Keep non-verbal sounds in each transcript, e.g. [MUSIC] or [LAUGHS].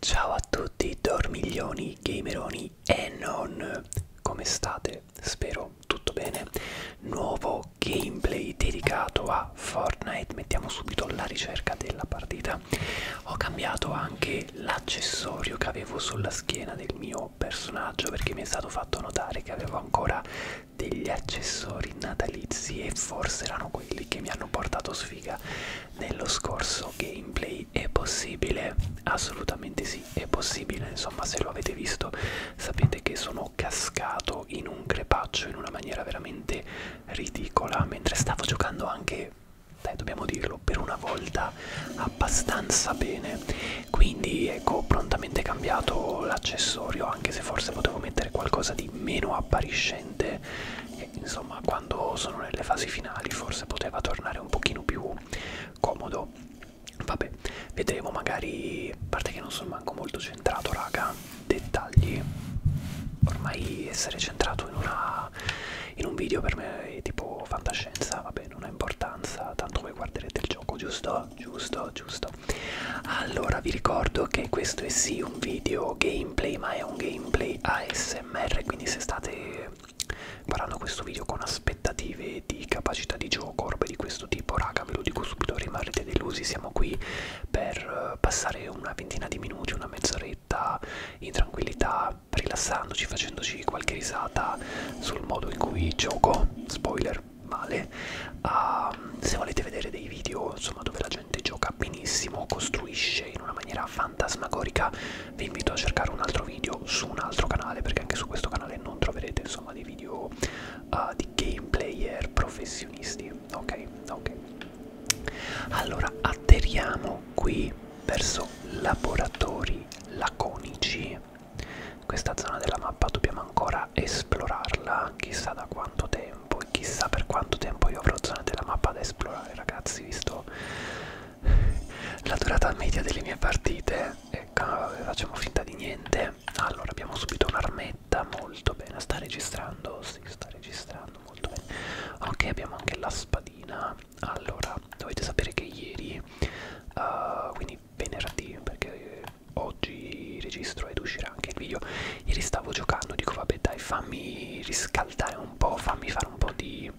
Ciao a tutti dormiglioni, gameroni e non, come state? Spero tutto bene. Nuovo gameplay dedicato a Fortnite, mettiamo subito la ricerca della partita. Ho cambiato anche l'accessorio che avevo sulla schiena del mio personaggio perché mi è stato fatto notare che avevo ancora degli accessori natalizi e forse erano quelli che mi hanno portato sfiga nello scorso gameplay è possibile assolutamente sì è possibile insomma se lo avete visto sapete che sono cascato in un crepaccio in una maniera veramente ridicola mentre stavo giocando anche dai dobbiamo dirlo per una volta abbastanza bene quindi ecco ho prontamente cambiato l'accessorio anche se forse potevo mettere qualcosa stati meno appariscente e insomma quando sono nelle fasi finali forse poteva tornare un pochino più comodo vabbè vedremo magari a parte che non sono manco molto centrato raga dettagli ormai essere centrato in una in un video per me è tipo fantascienza vabbè non ha importanza tanto voi guarderete il gioco giusto giusto giusto mondo allora vi ricordo che questo è sì un video gameplay ma è un gameplay ASMR quindi se state guardando questo video con aspettative di capacità di gioco orbe di questo tipo raga ve lo dico subito rimarrete delusi siamo qui per eh, passare una ventina di minuti una mezz'oretta in tranquillità rilassandoci facendoci qualche risata sul modo in cui gioco spoiler male pensate a, ehm, se volete vedere dei video insomma dove la gente gioca benissimo costruisce in una maniera fantasmagorica vi invito a cercare un altro video su un altro canale perché anche su questo canale non troverete insomma dei video uh, di game player professionisti ok ok allora atterriamo qui verso laboratori laconici questa zona della mappa dobbiamo ancora da esplorarla chissà da quanto tempo e chissà per quanto tempo io avrò zone della mappa da esplorare ragazzi visto la durata media delle mie partite ecco facciamo finta di niente allora abbiamo subito un'armetta molto bene sta registrando si sì, sta registrando molto bene ok abbiamo anche la spadina allora dovete sapere che ieri uh, quindi venerdì perché oggi registro ed uscirà anche il video ieri stavo giocando dico vabbè dai fammi riscaldare un po' fammi fare un po' di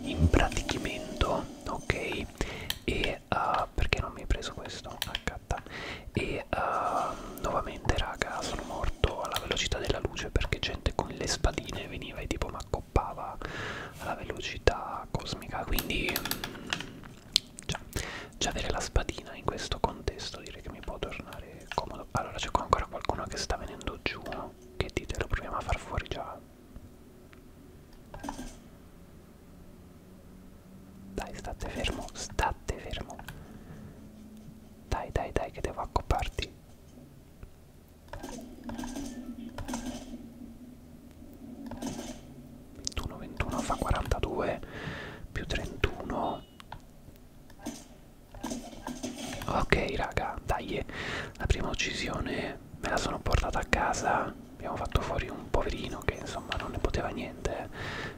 impratichimento ok e uh, perché non mi hai preso questo accatta ah, e uh, nuovamente raga sono morto alla velocità della luce perché gente con le spadine veniva e tipo mi accoppava alla velocità cosmica quindi cioè, già avere la spadina in questo contesto direi che mi può tornare comodo allora c'è qua ancora qualcuno che sta venendo giù che dite lo proviamo a far fuori già dai state fermo state fermo dai dai dai che devo accopparti Ventuno, 21 fa 42 più 31 Ok raga, dai, la prima uccisione me la sono portata a casa, abbiamo fatto fuori un poverino che insomma non ne poteva niente,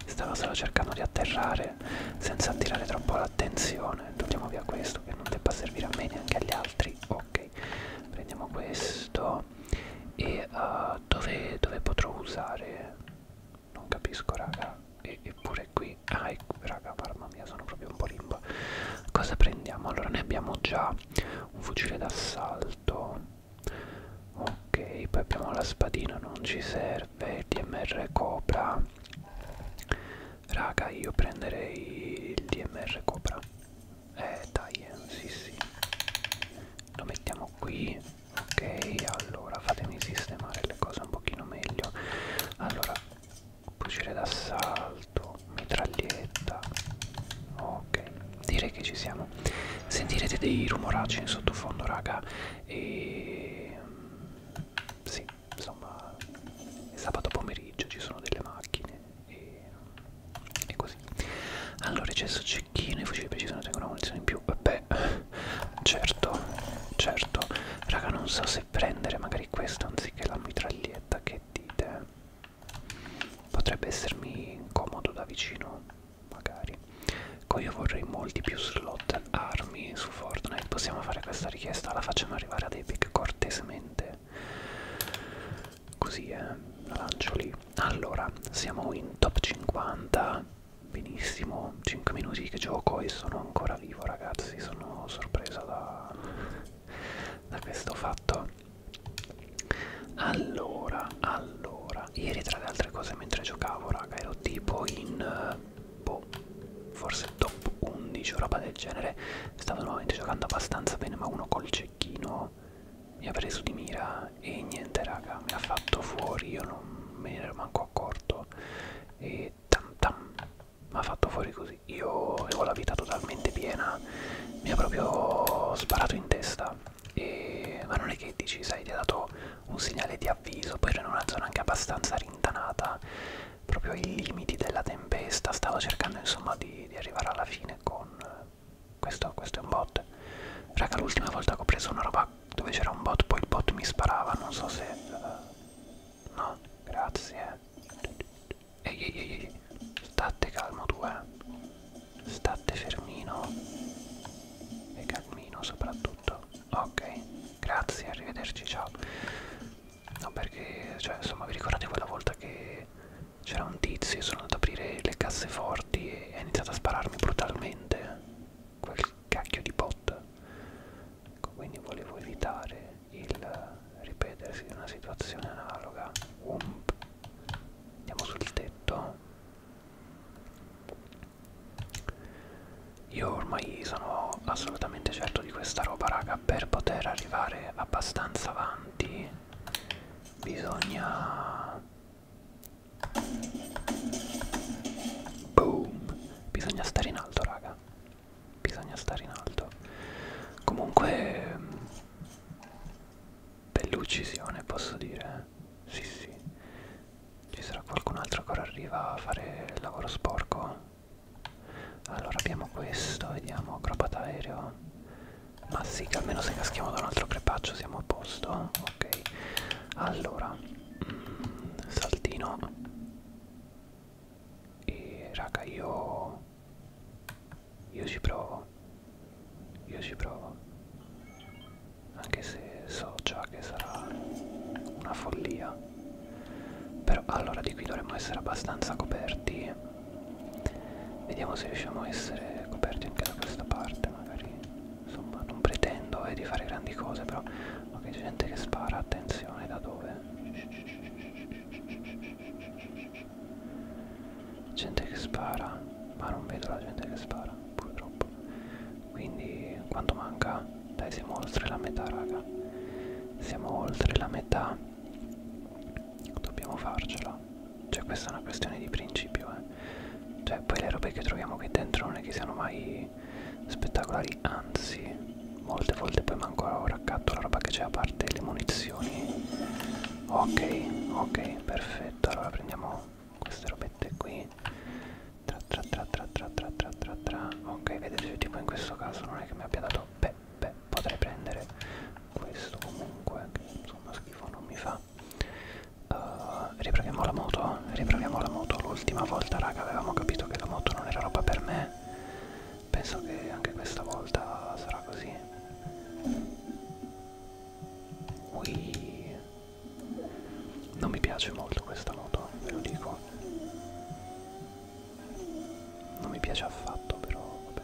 stava solo cercando di atterrare senza attirare troppo l'attenzione, togliamo via questo che non debba servire a me neanche agli altri, ok, prendiamo questo e uh, dove, dove potrò usare? non capisco raga e, eppure qui ah ecco, raga mamma mia sono proprio un po' limbo cosa prendiamo allora ne abbiamo già un fucile d'assalto ok poi abbiamo la spadina non ci serve il dmr cobra raga io prenderei il dmr cobra eh dai eh, sì sì lo mettiamo qui ok allora fatemi sistemare le cose un pochino meglio allora fucile d'assalto mitraglietta ok direi che ci siamo sentirete dei rumoracci in sottofondo raga e mm, sì insomma è sabato pomeriggio ci sono delle macchine e, e così allora eccesso cecchino i fucili precisi non tengono una munizione in più beh certo certo raga non so se prendere magari questo anziché la mitraglietta che dite potrebbe essermi comodo da vicino magari poi io vorrei molti più slot armi su fortnite possiamo fare questa richiesta la facciamo arrivare ad epic cortesemente così eh la lancio lì allora siamo in top 50 benissimo 5 minuti che gioco e sono ancora vivo ragazzi sono sorpresa da, da questo fatto allora allora ieri tra le altre cose mentre giocavo raga ero tipo in eh, boh forse top 11 o roba del genere stavo nuovamente giocando abbastanza bene ma uno col cecchino mi ha preso di mira e niente raga mi ha fatto fuori io non me ne ero manco manco accorto e tam tam mi ha fatto fuori così io avevo la vita totalmente piena mi ha proprio sparato in testa e... ma non è che dici sai ti ha dato un segnale di avviso poi ero in una zona anche abbastanza rintanata proprio ai limiti della tempesta stavo cercando insomma di, di arrivare alla fine con questo, questo è un bot raga l'ultima volta che ho preso una roba dove c'era un bot, poi il bot mi sparava, non so se... Uh, no, grazie. Ehi, ehi, ehi, ehi, state calmo tu, eh. State fermino. E calmino soprattutto. Ok, grazie, arrivederci, ciao. No, perché, cioè, insomma, vi ricordate quella volta che c'era un tizio, sono andato ad aprire le casseforti e ha iniziato a spararmi brutalmente? Quel cacchio di botta ecco quindi volevo evitare il ripetersi di una situazione analoga Ump. andiamo sul tetto io ormai sono assolutamente certo di questa roba raga per poter arrivare abbastanza avanti bisogna Boom. Bisogna stare in alto, raga. Bisogna stare in alto. Comunque bell'uccisione, mm, posso dire. Eh? Sì, sì. Ci sarà qualcun altro che ora arriva a fare il lavoro sporco. Allora abbiamo questo, vediamo acrobat aereo. Ma sì, che almeno se caschiamo da un altro crepaccio siamo a posto. Ok. Allora mm, saltino e raga io io ci provo io ci provo anche se so già che sarà una follia però allora di qui dovremmo essere abbastanza coperti vediamo se riusciamo a essere coperti anche da questa parte magari insomma non pretendo eh, di fare grandi cose però ok c'è gente che spara attenzione da dove gente che spara ma non vedo la gente che spara purtroppo quindi quanto manca dai siamo oltre la metà raga siamo oltre la metà dobbiamo farcela cioè questa è una questione di principio eh cioè poi le robe che troviamo qui dentro non è che siano mai spettacolari anzi molte volte poi manco raccatto la roba che c'è a parte le munizioni ok ok perfetto allora prendiamo queste robette qui tra tra tra tra tra tra tra tra tra ok vedete tipo in questo caso non è che mi abbia dato beh beh potrei prendere questo comunque che insomma schifo non mi fa uh, riproviamo la moto, riproviamo la moto. L'ultima volta, raga, avevamo capito che la moto non era roba per me. Penso che anche questa volta sarà così. Ui. Non mi piace molto questa moto, ve lo dico. Non mi piace affatto, però vabbè.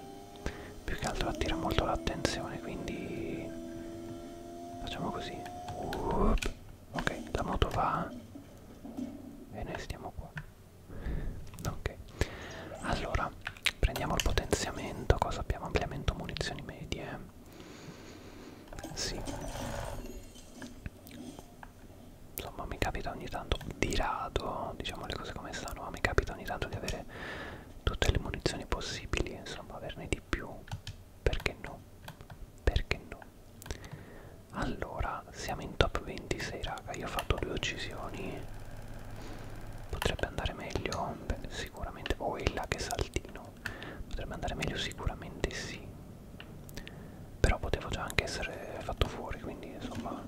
Più che altro attira molto l'attenzione, quindi facciamo così. Up ok la moto va eh? e noi stiamo qua ok allora prendiamo il potenziamento cosa abbiamo ampliamento munizioni medie sì insomma mi capita ogni tanto di rado diciamo le cose come stanno ma mi capita ogni tanto di avere tutte le munizioni possibili insomma averne di più perché no perché no allora siamo in top 26 raga io ho fatto due uccisioni potrebbe andare meglio Beh, sicuramente o oh, è là che saltino potrebbe andare meglio sicuramente sì però potevo già anche essere fatto fuori quindi insomma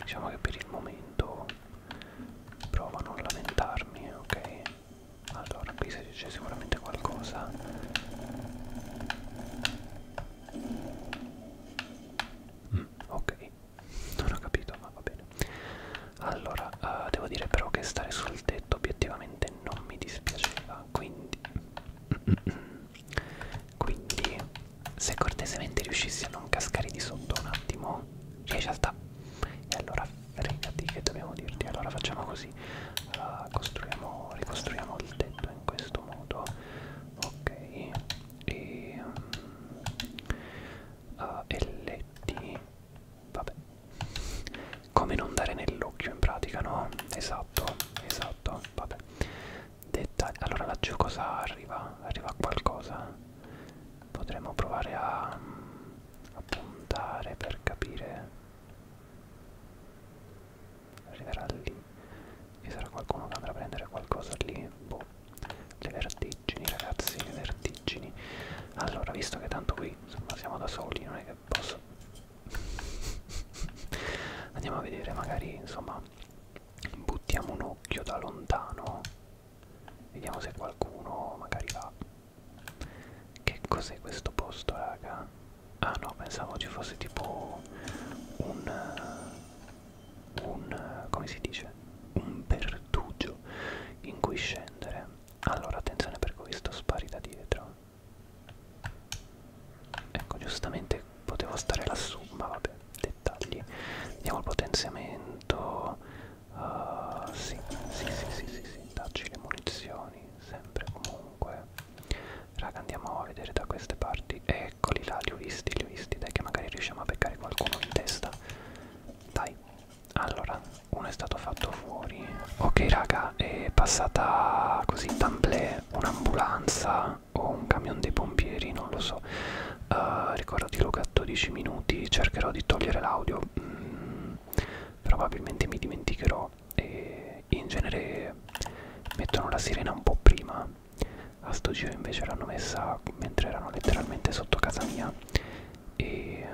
diciamo che per il momento provo a non lamentarmi ok allora qui c'è sicuramente qualcosa mm, ok non ho capito ma va bene allora uh, devo dire però che stare sul tetto obiettivamente non mi dispiaceva quindi [CLEARS THROAT] quindi se cortesemente riuscissi a non cascare di sotto un attimo riesci a sta e allora fregati che dobbiamo dirti allora facciamo così così uh, costruiamo ricostruiamo il tetto in questo modo ok e um, mm, uh, ah, LT vabbè come non dare nell'occhio in pratica no esatto esatto vabbè dettagli allora laggiù cosa arriva arriva qualcosa potremmo provare a, mm, a puntare per capire arriverà lì e sarà qualcuno che andrà a prendere qualcosa lì boh le vertigini ragazzi le vertigini allora visto che tanto qui insomma siamo da soli non è che posso [LAUGHS] andiamo a vedere magari insomma buttiamo un occhio da lontano vediamo se qualcuno magari va che cos'è questo posto raga Ah no, pensavo ci fosse tipo un... Eh, un... Eh, come si dice? Un pertugio in cui scendere. Allora, attenzione per questo, spari da dietro. Ecco, giustamente potevo stare lassù, ma vabbè, dettagli. Andiamo al potenziamento. Uh, sì, sì, sì, sì, sì, sì, dacci le munizioni, sempre comunque comunque raga andiamo a vedere da queste parti eccoli là li ho visti li ho visti dai che magari riusciamo a beccare qualcuno in testa dai allora uno è stato fatto fuori ok raga è passata così tamblè un'ambulanza o un camion dei pompieri non lo so uh, eh, ricordo di Luca 12 minuti cercherò di togliere l'audio mm, probabilmente mi dimenticherò e in genere mettono la sirena un po' prima a sto giro invece l'hanno messa mentre erano letteralmente sotto casa mia e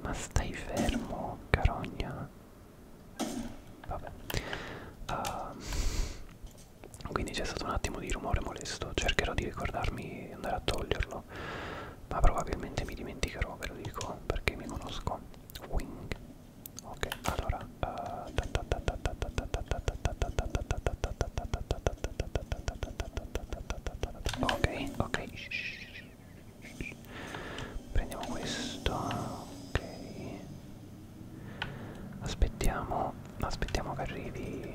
ma stai fermo carogna vabbè uh, quindi c'è stato un attimo di rumore molesto cercherò di ricordarmi di andare a toglierlo ma probabilmente mi dimenticherò ve lo dico perché mi conosco wing ok allora ok ok prendiamo questo ok aspettiamo aspettiamo che arrivi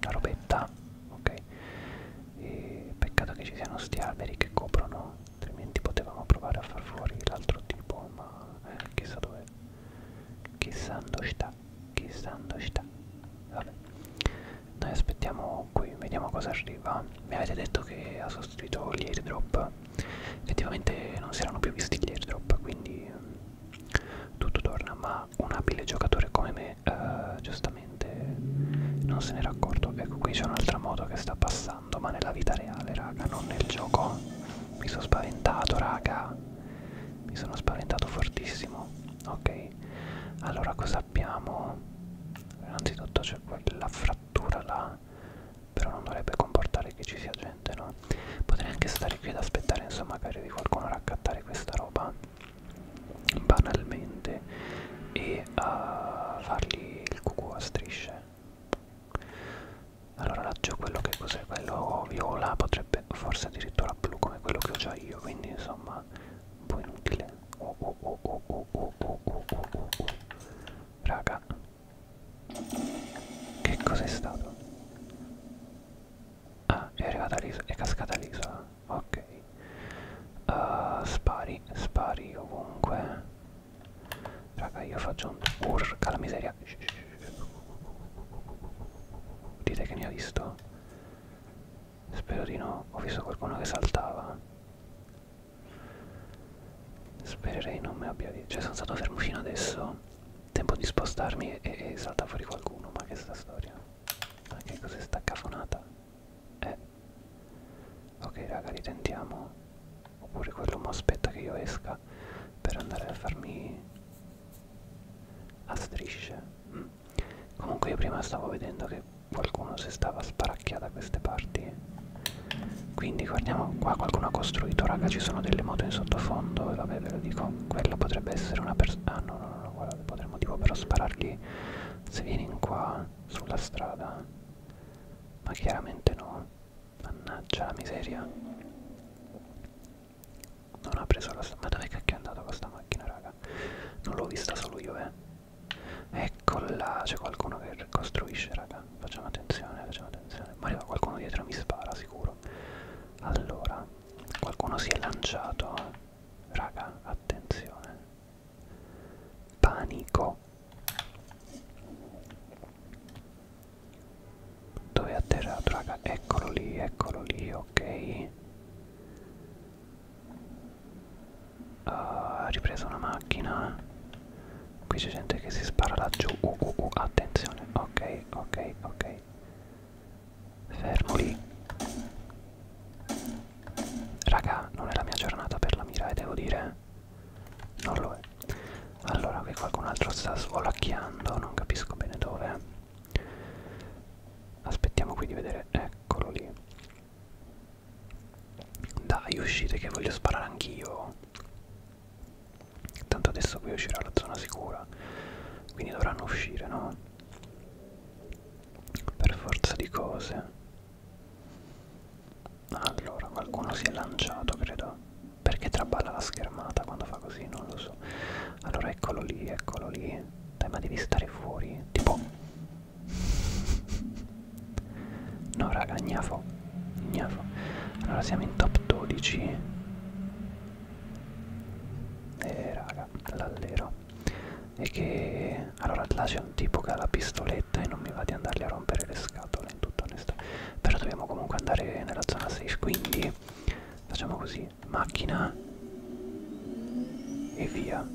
la robetta ok e peccato che ci siano sti alberi che coprono altrimenti potevamo provare a far fuori l'altro tipo ma eh, chissà dove chissà dove sta chissà dove sta vabbè noi aspettiamo qui vediamo cosa arriva mi avete detto che ha sostituito gli airdrop effettivamente non si erano più visti gli airdrop quindi mh, mm, tutto torna ma un abile giocatore come me uh, giustamente non se n'era accorto ecco qui c'è un'altra moto che sta passando scherzando, ma nella vita reale, raga, non nel gioco. Mi sono spaventato, raga. Mi sono spaventato fortissimo. Ok. Allora cosa abbiamo? Innanzitutto c'è quella frattura là. Però non dovrebbe comportare che ci sia gente, no? Potrei anche stare qui ad aspettare, insomma, magari di qualcuno raccattare questa roba banalmente e e a fargli il cucù a strisce allora laggiù quello che cos'è quello viola potrebbe forse addirittura blu come quello che ho già io quindi insomma un po' inutile oh oh oh oh oh oh oh oh oh oh oh raga che cos'è stato? ah è arrivata l'isola è cascata l'isola ok uh, spari spari ovunque Raga io faccio un... Urca la miseria Dite che ne ha visto? Spero di no Ho visto qualcuno che saltava Spererei non mi abbia visto Cioè sono stato fermo fino adesso Tempo di spostarmi e, e salta fuori qualcuno Ma che sta storia Ma che cos'è sta cafonata eh. Ok raga, ritentiamo. Oppure quello aspetta che io esca per andare a farmi a strisce. Mm. Comunque io prima stavo vedendo che qualcuno si stava sparacchiando da queste parti. Quindi guardiamo qua, qualcuno ha costruito, raga, ci sono delle moto in sottofondo e vabbè ve lo dico, quello potrebbe essere una persona... Ah no no no, guardate, potremmo tipo però sparargli se vieni in qua sulla strada ma chiaramente no, mannaggia la miseria. Non ha preso la... ma dove cacchio è andata questa macchina raga? Non l'ho vista solo io eh. Eccola, c'è qualcuno che costruisce raga. Facciamo attenzione, facciamo attenzione. Ma arriva qualcuno dietro mi spara sicuro. Allora, qualcuno si è lanciato. Eh. Raga, attenzione. Panico. Dove è atterrato, raga? Eccolo lì, eccolo lì, ok. Ah, ha uh, ripreso una macchina. Qui c'è gente che si spara laggiù. Uh, uh, uh, attenzione. Ok, ok, ok. Fermo lì. Raga, non è la mia giornata per la mira e eh, devo dire non lo è allora qui qualcun altro sta svolacchiando non capisco bene dove aspettiamo qui di vedere eccolo lì dai uscite che voglio sparare anch'io tanto adesso qui uscirà la zona sicura quindi dovranno uscire no per forza di cose allora, qualcuno si è lanciato, credo. Perché traballa la schermata quando fa così? Non lo so. Allora, eccolo lì, eccolo lì. Dai, ma devi stare fuori. Tipo... No, raga, gnafo. Gnafo. Allora, siamo in top 12. Eh, raga, l'allero. E che... Allora, là c'è un tipo che ha la pistoletta fretta e non mi va di andarli a rompere le scatole in tutta onestà però dobbiamo comunque andare nella zona safe quindi facciamo così macchina e via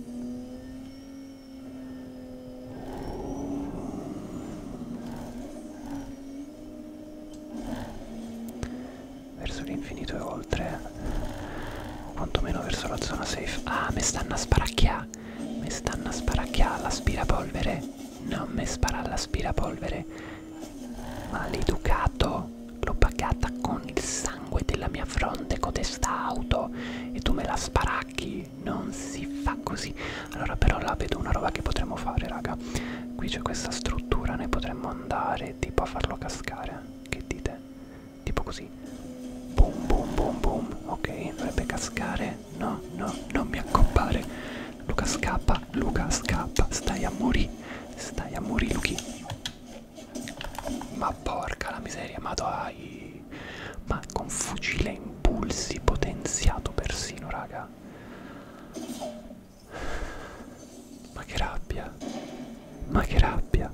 verso l'infinito e oltre o quantomeno verso la zona safe ah mi stanno a sparacchiare ma mi stanno a sparacchiare l'aspirapolvere non mi spara l'aspirapolvere maleducato l'ho pagata con il sangue della mia fronte codesta auto e tu me la sparacchi non si fa così allora però là vedo una roba che potremmo fare raga qui c'è questa struttura noi potremmo andare tipo a farlo cascare che dite tipo così boom boom boom boom ok dovrebbe cascare me, no, no, non mi accompare. Luca scappa, Luca scappa, stai a morire, stai a morire Luchi. Ma porca la miseria, ma dai. Ma con fucile impulsi potenziato persino, raga. Ma che rabbia, ma che rabbia.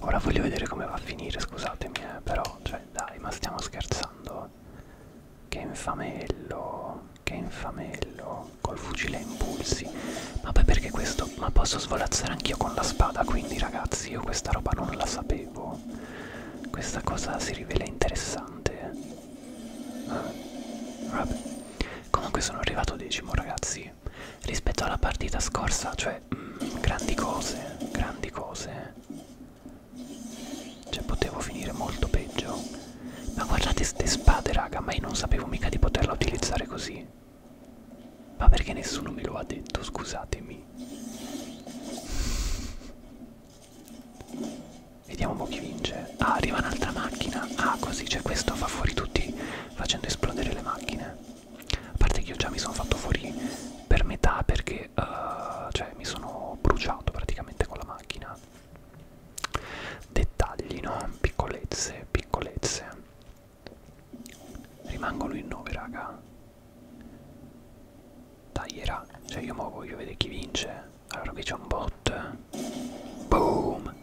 Ora voglio vedere come va a finire, scusatemi, eh, però, cioè, dai, ma stiamo scherzando. Che infamello, che infamello, col fucile a impulsi. Ma poi perché questo? Ma posso svolazzare anch'io con la spada, quindi ragazzi, io questa roba non la sapevo. Questa cosa si rivela interessante. Eh, vabbè. Comunque sono arrivato decimo, ragazzi. Rispetto alla partita scorsa, cioè mm, grandi cose, grandi cose. Cioè potevo finire molto peggio. Ma guardate ste spade, raga, ma io non sapevo mica di poterla utilizzare così. Ma perché nessuno me lo ha detto, scusatemi. Vediamo un po' chi vince. Ah, arriva un'altra macchina. Ah, così, cioè questo fa fuori tutti facendo esplodere le macchine a parte che io già mi sono fatto fuori per metà perché uh, cioè mi sono bruciato praticamente con la macchina dettagli no piccolezze piccolezze rimangono in 9 raga dai era cioè io mo voglio vedere chi vince allora qui c'è un bot boom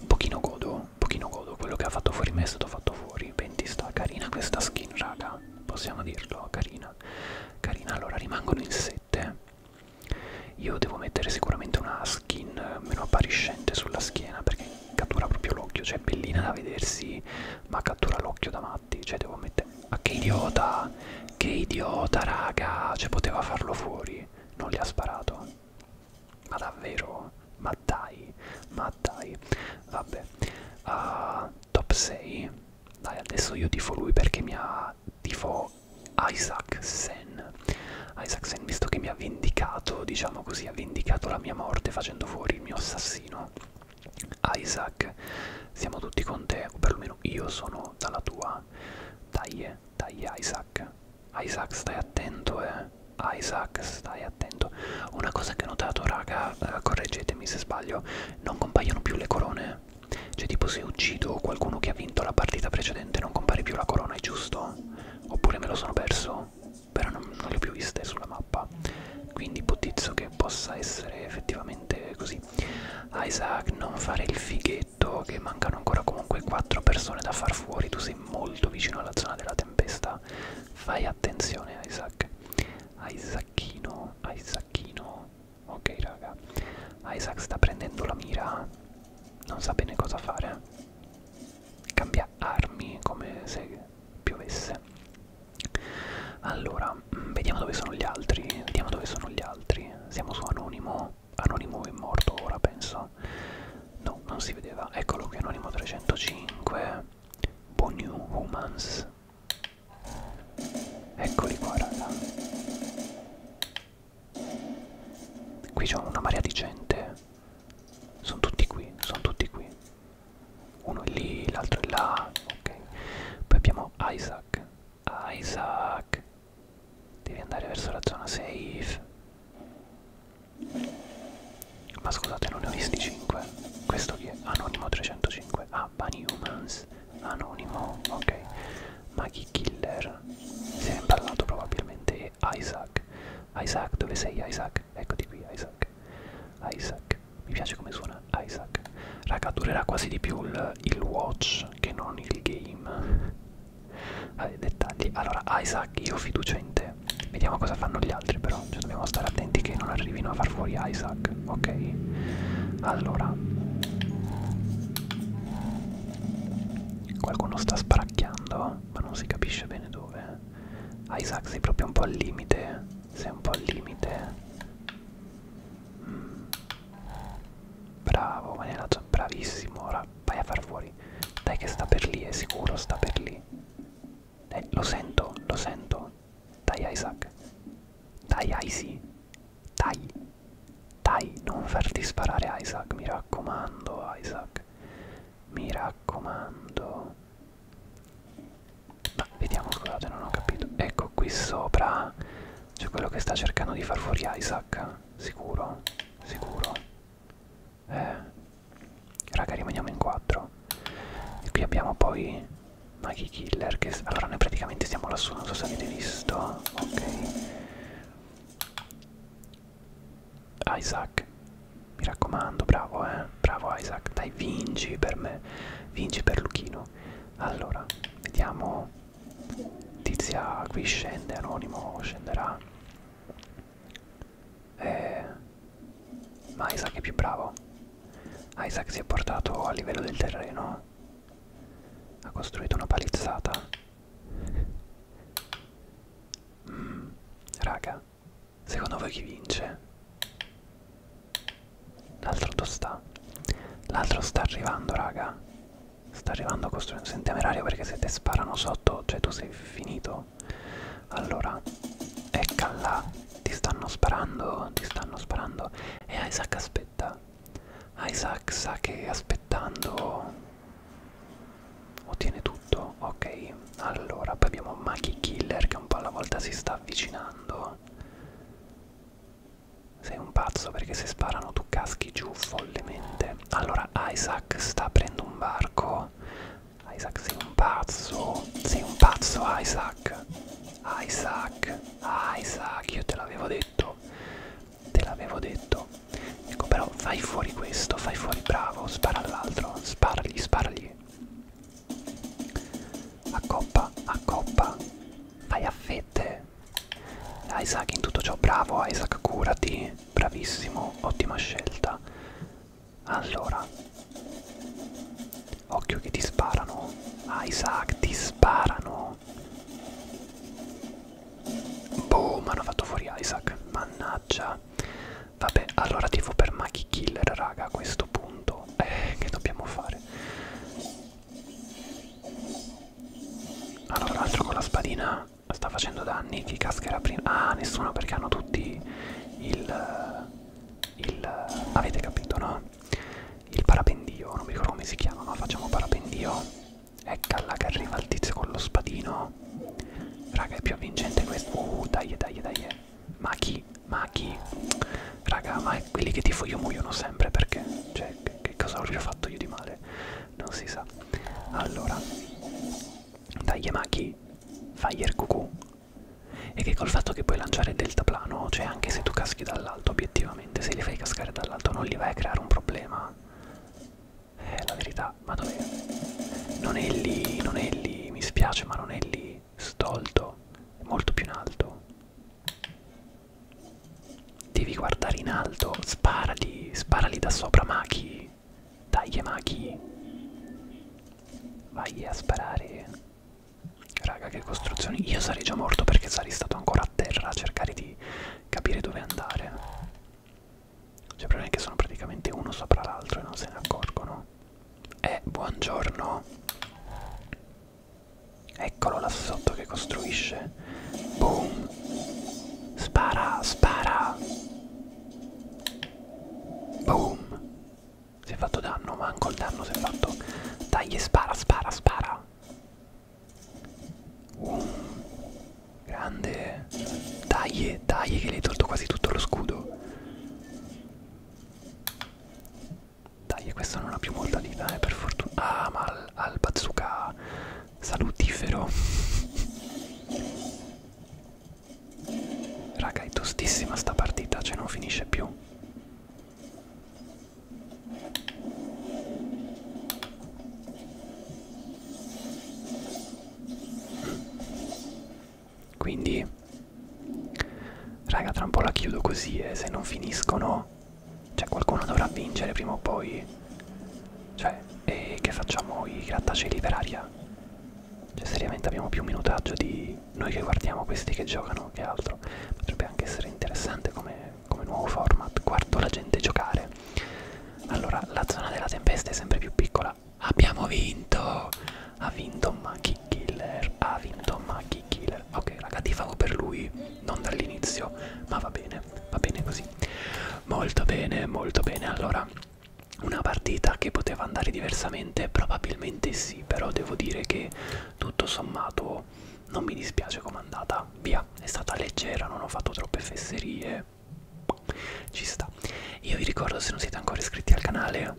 un pochino godo un pochino godo quello che ha fatto fuori me è stato fatto fuori 20 sta carina questa skin raga possiamo dirlo, carina. Carina, allora rimangono in sette. Io devo mettere sicuramente una skin meno appariscente sulla schiena perché cattura proprio l'occhio, cioè è bellina da vedersi, ma cattura l'occhio da matti, cioè devo mettere... Ah, che idiota! Che idiota, raga! Cioè poteva farlo fuori, non gli ha sparato. Ma davvero? Ma dai, ma dai, vabbè, uh, top 6, dai adesso io tifo lui perché mi ha tifo Isaac Sen, Isaac Sen visto che mi ha vendicato, diciamo così, ha vendicato la mia morte facendo fuori il mio assassino, Isaac, siamo tutti con te, o perlomeno io sono dalla tua, dai, dai Isaac, Isaac stai attento eh, Isaac stai attento tutto una cosa che ho notato raga eh, correggetemi se sbaglio non compaiono più le corone cioè tipo se uccido qualcuno che ha vinto la partita precedente non compare più la corona è giusto oppure me lo sono perso però non, non le ho più viste sulla mappa quindi ipotizzo che possa essere effettivamente così Isaac non fare il fighetto che mancano ancora comunque 4 persone da far fuori tu sei molto vicino alla zona della tempesta fai attenzione Isaac Isaacchino Isaacchino ok raga Isaac sta prendendo la mira non sa bene cosa fare cambia armi come se piovesse allora mm, vediamo dove sono gli altri vediamo dove sono gli altri siamo su anonimo anonimo è morto ora penso no non si vedeva eccolo qui anonimo 305 Bonu Humans Eccoli qua, raga. Qui c'è una marea di gente. Sono tutti qui, sono tutti qui. Uno è lì, l'altro è là. Ok. Poi abbiamo Isaac. Isaac. Devi andare verso la zona safe. Ma scusate, non ne ho visti 5. Questo chi è? Anonimo 305. Ah, Bunny Humans. Anonimo, ok. Maggie Killer. Si è imballato probabilmente. E Isaac. Isaac, dove sei Isaac? Eccoti qui, Isaac. Isaac. Mi piace come suona Isaac. Raga, durerà quasi di più il, il watch che non il game. Vabbè, eh, dettagli. Allora, Isaac, io ho fiducia in te. Vediamo cosa fanno gli altri però, cioè dobbiamo stare attenti che non arrivino a far fuori Isaac, ok? Allora, qualcuno sta sparacchiando, ma non si capisce bene dove. Isaac sei proprio un po' al limite, sei un po' al limite. Mm. Bravo, manerato, bravissimo, ora vai a far fuori. Dai che sta per lì, è sicuro, sta per lì. Eh, lo sento, lo sento. Dai Isaac. Dai Isi. Dai. Dai, non farti sparare Isaac, mi raccomando Isaac. Mi raccomando. Ma vediamo, scusate, non ho capito. Ecco qui sopra c'è quello che sta cercando di far fuori Isaac. Sicuro? Sicuro? Eh raga rimaniamo in 4 e qui abbiamo poi Maggie Killer che allora noi praticamente siamo lassù non so se avete visto ok Isaac mi raccomando bravo eh bravo Isaac dai vinci per me vinci per Luchino allora vediamo tizia qui scende anonimo scenderà eh ma Isaac è più bravo. Isaac si è portato a livello del terreno. Ha costruito una palizzata. Mm, raga, secondo voi chi vince? L'altro dove sta? L'altro sta arrivando, raga. Sta arrivando a costruire un temerario perché se te sparano sotto, cioè tu sei finito. Allora, eccala, ti stanno sparando, ti stanno sparando. E Isaac aspetta. Isaac sa che aspettando ottiene tutto. Ok, allora, poi abbiamo Maggie Killer che un po' alla volta si sta avvicinando. Sei un pazzo perché se sparano tu caschi giù follemente. Allora Isaac sta aprendo un barco. Isaac sei un pazzo, sei un pazzo Isaac, Isaac, Isaac, io te l'avevo detto, te l'avevo detto. Ecco però fai fuori questo, fai fuori bravo, spara all'altro, sparagli, sparagli. A coppa, a coppa, vai a fette. Isaac in tutto ciò, bravo Isaac, curati, bravissimo, ottima scelta. Allora, occhio che ti sparano. Ah, Isaac, ti sparano. Boom, hanno fatto fuori Isaac. Mannaggia. Vabbè, allora tifo per Maki Killer, raga, a questo punto. Eh, che dobbiamo fare? Allora, l'altro con la spadina sta facendo danni. Chi cascherà prima? Ah, nessuno perché hanno tutti il il, avete capito no? Il parapendio, non mi ricordo come si chiama, ma facciamo parapendio. Ecco là che arriva il tizio con lo spadino. Raga, è più avvincente questo. Uh, dai, dai, dai. Ma chi? Ma chi? Raga, ma quelli che tifo io muoiono sempre perché? Cioè, che, che cosa ho fatto io di male? Non si sa. Allora, dai, ma chi? Fire cucù e che col fatto che puoi lanciare il deltaplano, cioè anche se tu caschi dall'alto, obiettivamente, se li fai cascare dall'alto non li vai a creare un problema. Eh, la verità, ma dov'è? Non è lì, non è lì, mi spiace, ma non è lì. Stolto, è molto più in alto. Devi guardare in alto, sparali, sparali da sopra, Maki. Dai, Maki. Vai a sparare. Raga, che costruzioni. Io sarei già morto perché sarei stato ancora a terra a cercare di capire dove andare. Cioè, il problema è che sono praticamente uno sopra l'altro e non se ne accorgono. Eh, buongiorno. Eccolo là sotto che costruisce. Boom. Spara, spara. Boom. Si è fatto danno, manco il danno si è fatto. Dai, spara, spara, spara. Uh, grande. Dai, dai, che gli hai tolto quasi tutto lo scudo. Dai, questa non ha più molta vita, eh, per fortuna. Ah, ma al, al bazooka salutifero. [LAUGHS] Raga, è tostissima sta partita, cioè non finisce più. Quindi, raga, tra un po' la chiudo così e eh, se non finiscono, cioè qualcuno dovrà vincere prima o poi. Cioè, e che facciamo i grattacieli per aria? Cioè, seriamente abbiamo più minutaggio di noi che guardiamo questi che giocano che altro potrebbe anche essere interessante come, come nuovo format guardo la gente giocare allora la zona della tempesta è sempre più piccola abbiamo vinto ha vinto Maki Killer ha vinto Maki Killer ok raga tifavo per lui non dall'inizio ma va bene va bene così molto bene molto bene allora una partita che poteva andare diversamente probabilmente sì mesi però devo dire che tutto sommato non mi dispiace com'è andata via è stata leggera non ho fatto troppe fesserie ci sta io vi ricordo se non siete ancora iscritti al canale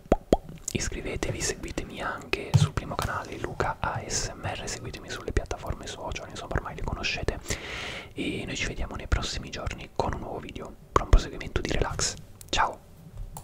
iscrivetevi seguitemi anche sul primo canale Luca ASMR seguitemi sulle piattaforme social insomma ormai le conoscete e noi ci vediamo nei prossimi giorni con un nuovo video buon proseguimento di relax ciao